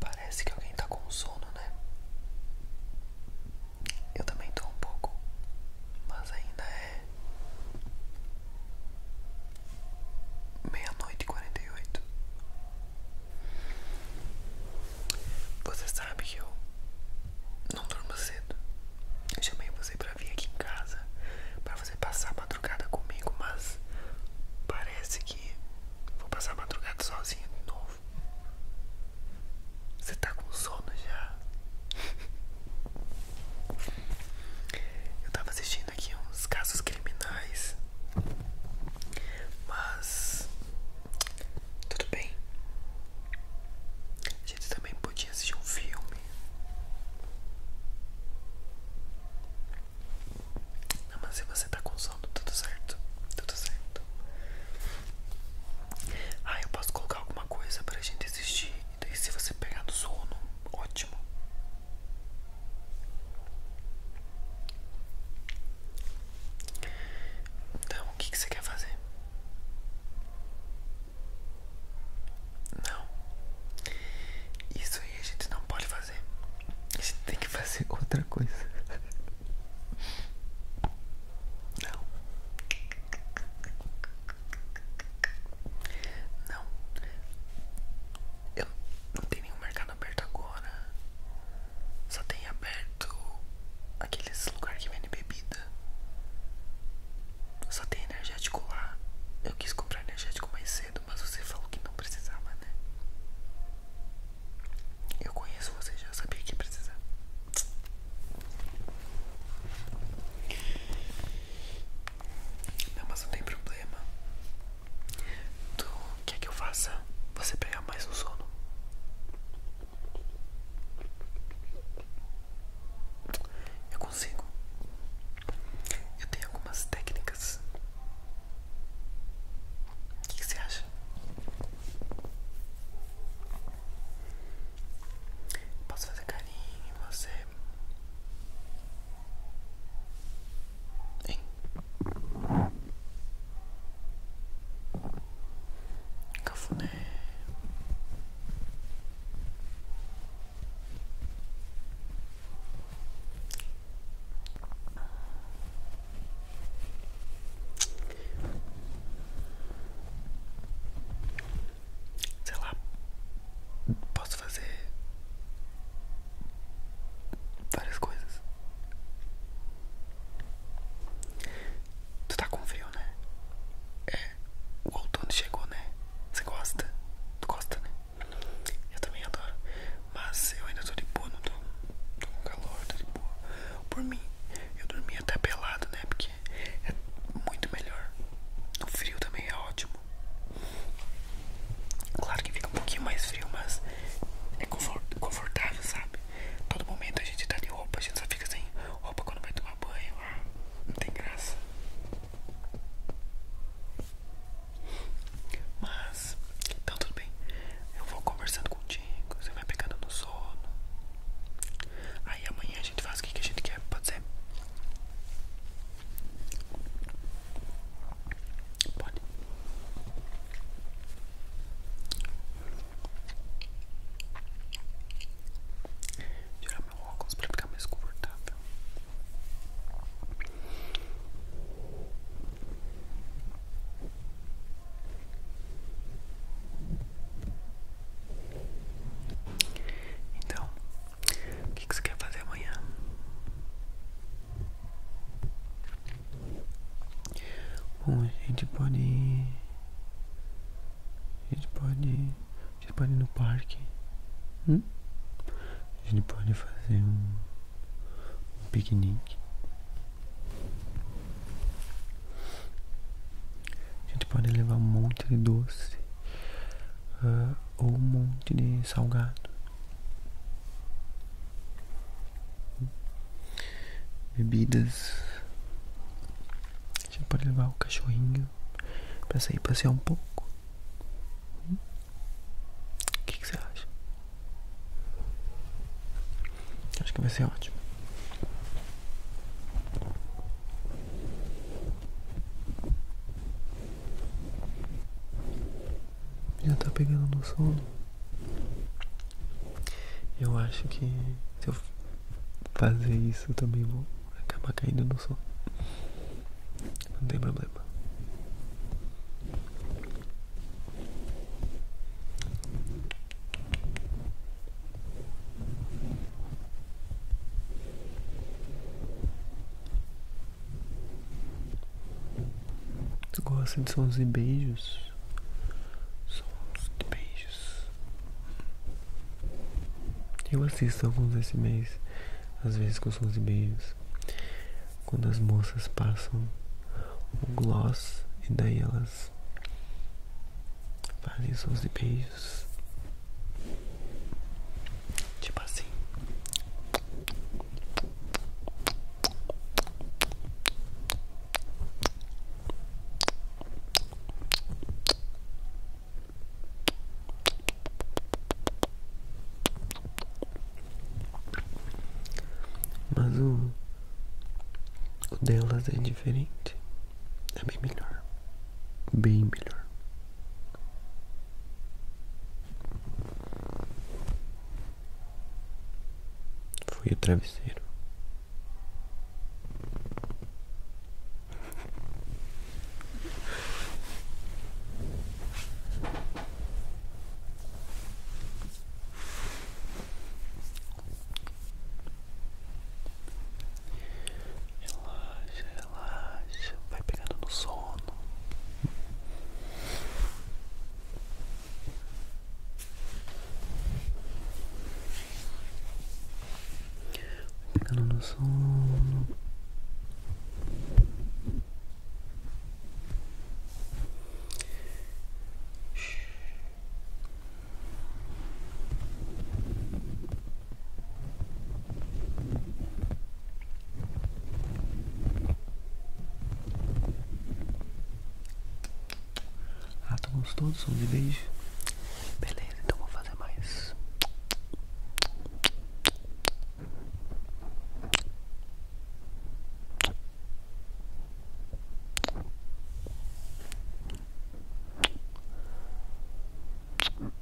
Parece que alguém tá com sono, né? Eu também tô um pouco, mas ainda é meia-noite e quarenta e oito. Você sabe que eu não durmo cedo. Eu chamei você pra vir aqui em casa, pra você passar a madrugada comigo, mas parece que vou passar a madrugada sozinha de novo. Você tá com sono já? Eu tava assistindo aqui uns casos criminais mas tudo bem. A gente também podia assistir um filme. mas se você tá com sono, tudo certo. Tudo certo. Ah, eu posso colocar alguma coisa pra gente assistir. se você pegar no sono, ótimo. Então, o que, você quer fazer? Não. Isso aí a gente não pode fazer. A gente tem que fazer outra coisa. Não. Não. Eu não tenho nenhum mercado aberto agora. Só tem aberto aqueles lugares que vende bebida. Só tem energético lá. Eu quis comprar energético mais cedo, mas você falou que não precisava, né? Eu conheço você, já sabia que precisava. Não, mas não tem problema. Tu quer que eu faça você pegar mais no sono? Eu consigo. Eu tenho algumas técnicas. O que, que você acha? Posso fazer carinho em você? Hein? Cafuné. Sei lá, posso fazer várias coisas. Tu tá com frio, né? É, o outono chegou, né? Você gosta? Tu gosta, né? Eu também adoro. Mas eu ainda tô de boa, não tô, tô com calor, tô de boa. Por mim, eu dormi até pelado, né? Porque é muito melhor. O frio também é ótimo. Claro que fica um pouquinho mais frio, mas é confortável, sabe? Todo momento a gente tá de roupa, a gente só fica sem roupa quando vai tomar banho. Ah, não tem graça. Mas, então tudo bem. Eu vou conversando contigo, você vai pegando no sono. Aí amanhã a gente faz o que a gente quer, pode ser? Pode. Tirar meu óculos para ficar mais confortável. Então, o que, você quer fazer amanhã? Bom, a gente pode A gente pode A gente pode ir no parque. A hum? gente pode fazer um, um piquenique. A gente pode levar um monte de doce ah, ou um monte de salgado. Bebidas. Já pode levar o cachorrinho para sair passear um pouco. Hum? O que, que você acha? Acho que vai ser ótimo. Já tá pegando no sono. Eu acho que se eu fazer isso também vou acabar caindo no sono. Não tem problema. Tu gosta de sons e beijos? Sons de beijos. Eu assisto alguns esse mês, às vezes com sons e beijos. Quando as moças passam o gloss e daí elas fazem sons de beijos. Tipo assim. Mas o, o delas é diferente. É bem melhor. Bem melhor. Foi o travesseiro relaxa, vai pegando no sono. pegando no sono. Ah, Átomos tá todos, um de beijo. Beleza, então vou fazer mais.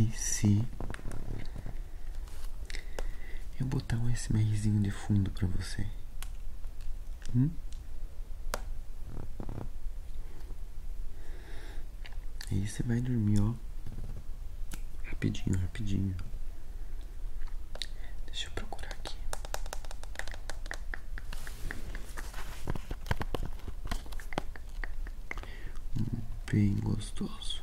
E se eu botar um SMRzinho de fundo pra você? Hum? Aí você vai dormir, ó. Rapidinho, rapidinho. Deixa eu procurar aqui. Bem gostoso.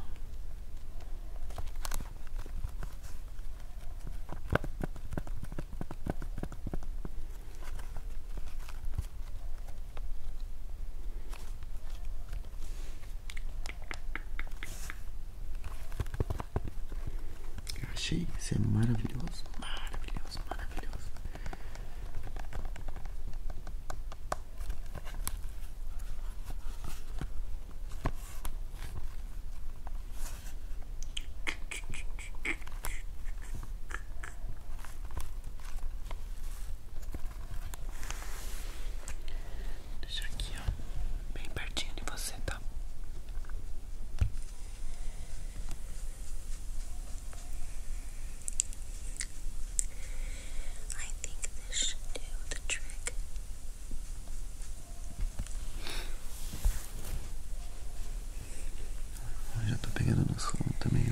Eu achei isso é maravilhoso, maravilhoso, maravilhoso. Deixa aqui, ó, bem pertinho de você, tá? I think this should do the ah, já tô pegando no sono também,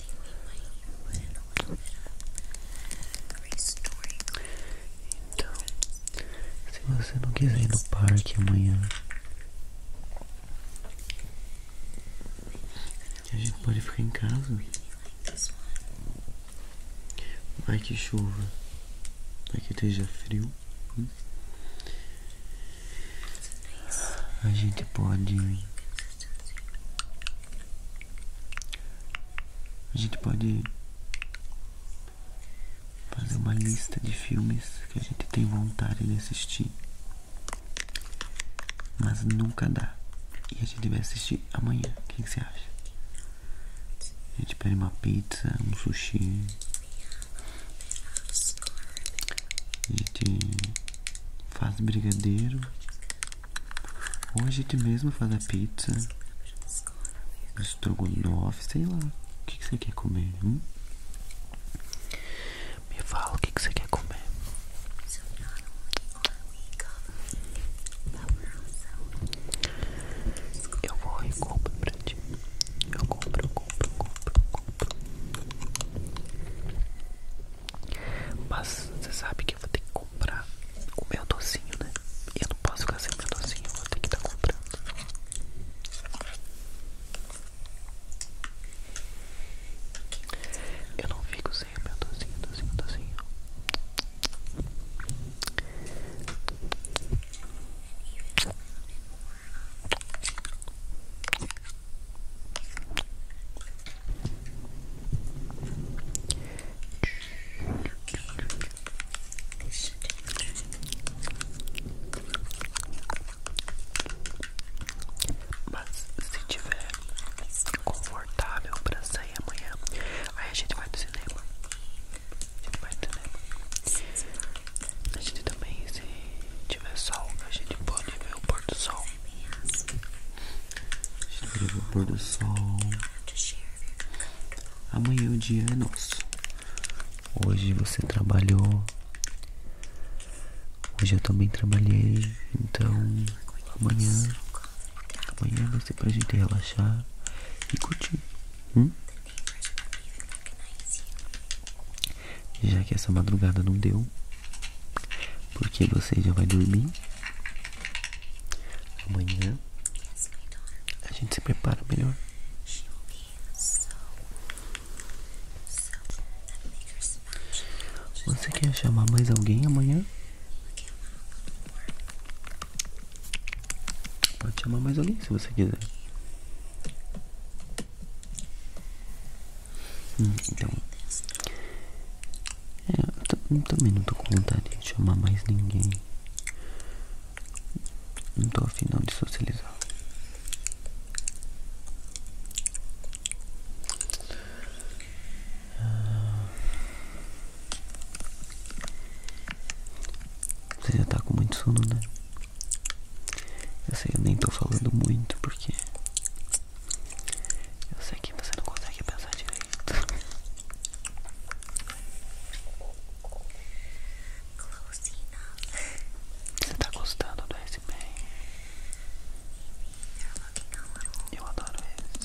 Então, se você não quiser ir no parque amanhã, a gente pode ficar em casa. Vai que chova, vai que esteja frio. Hum? a gente pode a gente pode fazer uma lista de filmes que a gente tem vontade de assistir mas nunca dá e a gente vai assistir amanhã o que, você acha a gente pede uma pizza um sushi a gente faz brigadeiro. Ou a gente mesmo faz a pizza. Estrogonofe, sei lá. O que, você quer comer? Hum? Me fala o que, que você quer comer. Eu vou e compro pra ti. Eu compro, eu compro, eu compro, eu compro. Mas você sabe que eu vou ter que comprar o meu docinho, né? eu não posso ficar sem o meu docinho, eu vou ter que estar tá comprando. Eu não fico sem o meu docinho, docinho, docinho. Mas se tiver confortável pra sair amanhã, aí a gente vai pro cinema. A gente vai pro cinema. A gente também se tiver sol, a gente pode ver o pôr do sol. A gente pode ver o pôr do sol. Amanhã é o dia é nosso. Hoje você trabalhou. Hoje eu também trabalhei. Então amanhã. Amanhã vai ser pra gente relaxar e curtir. Hum? já que essa madrugada não deu, porque você já vai dormir. Amanhã a gente se prepara melhor. Você quer chamar mais alguém amanhã? Pode chamar mais alguém se você quiser. Então, é, também não estou com vontade de chamar mais ninguém. Não estou afim não de socializar. Você já está com muito sono, né? Eu sei, eu nem tô falando muito porque eu sei que você não consegue pensar direito. Close enough. Você tá gostando do S SB? Eu adoro esse.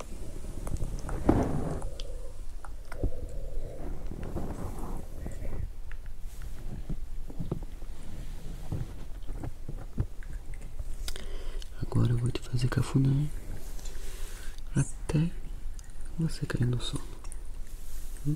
Agora eu vou te fazer cafuné até você cair no sono. Hum?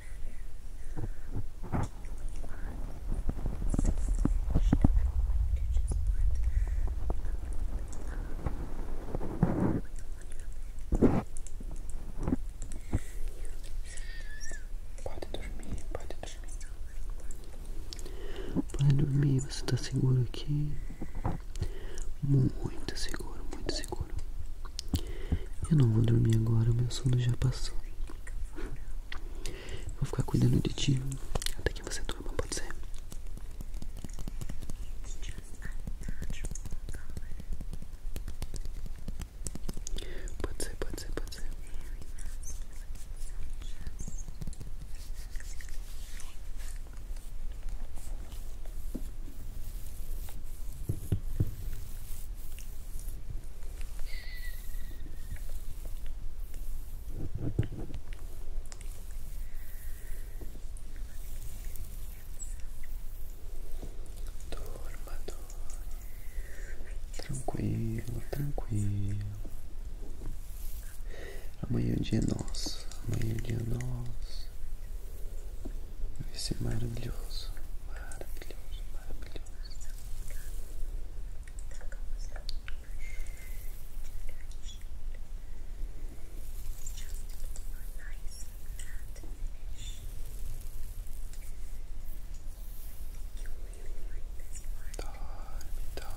Pode dormir, pode dormir. Pode dormir, você está seguro aqui? Muito seguro, muito seguro. Eu não vou dormir agora, meu sono já passou. Vou ficar cuidando de ti até que você durma, pode ser? Pode ser, pode ser, pode ser. Dorma, dorma. Tranquilo, tranquilo. Amanhã o é dia é nosso. Amanhã o é dia é nosso. Vai ser é maravilhoso, maravilhoso, maravilhoso. Dorme, tá, dorme. Tá.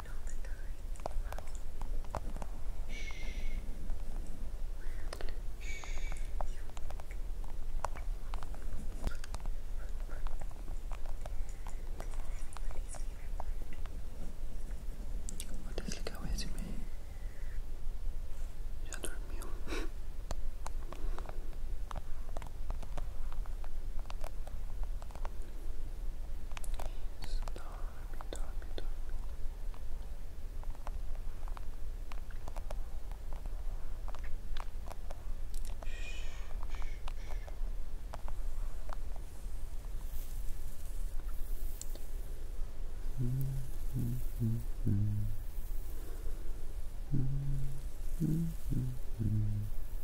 it the time. Shh. you. Já dormiu. Stormy, stormy, stormy. Shh, shh, shh. Mm -hmm, -hmm. -hmm, -hmm.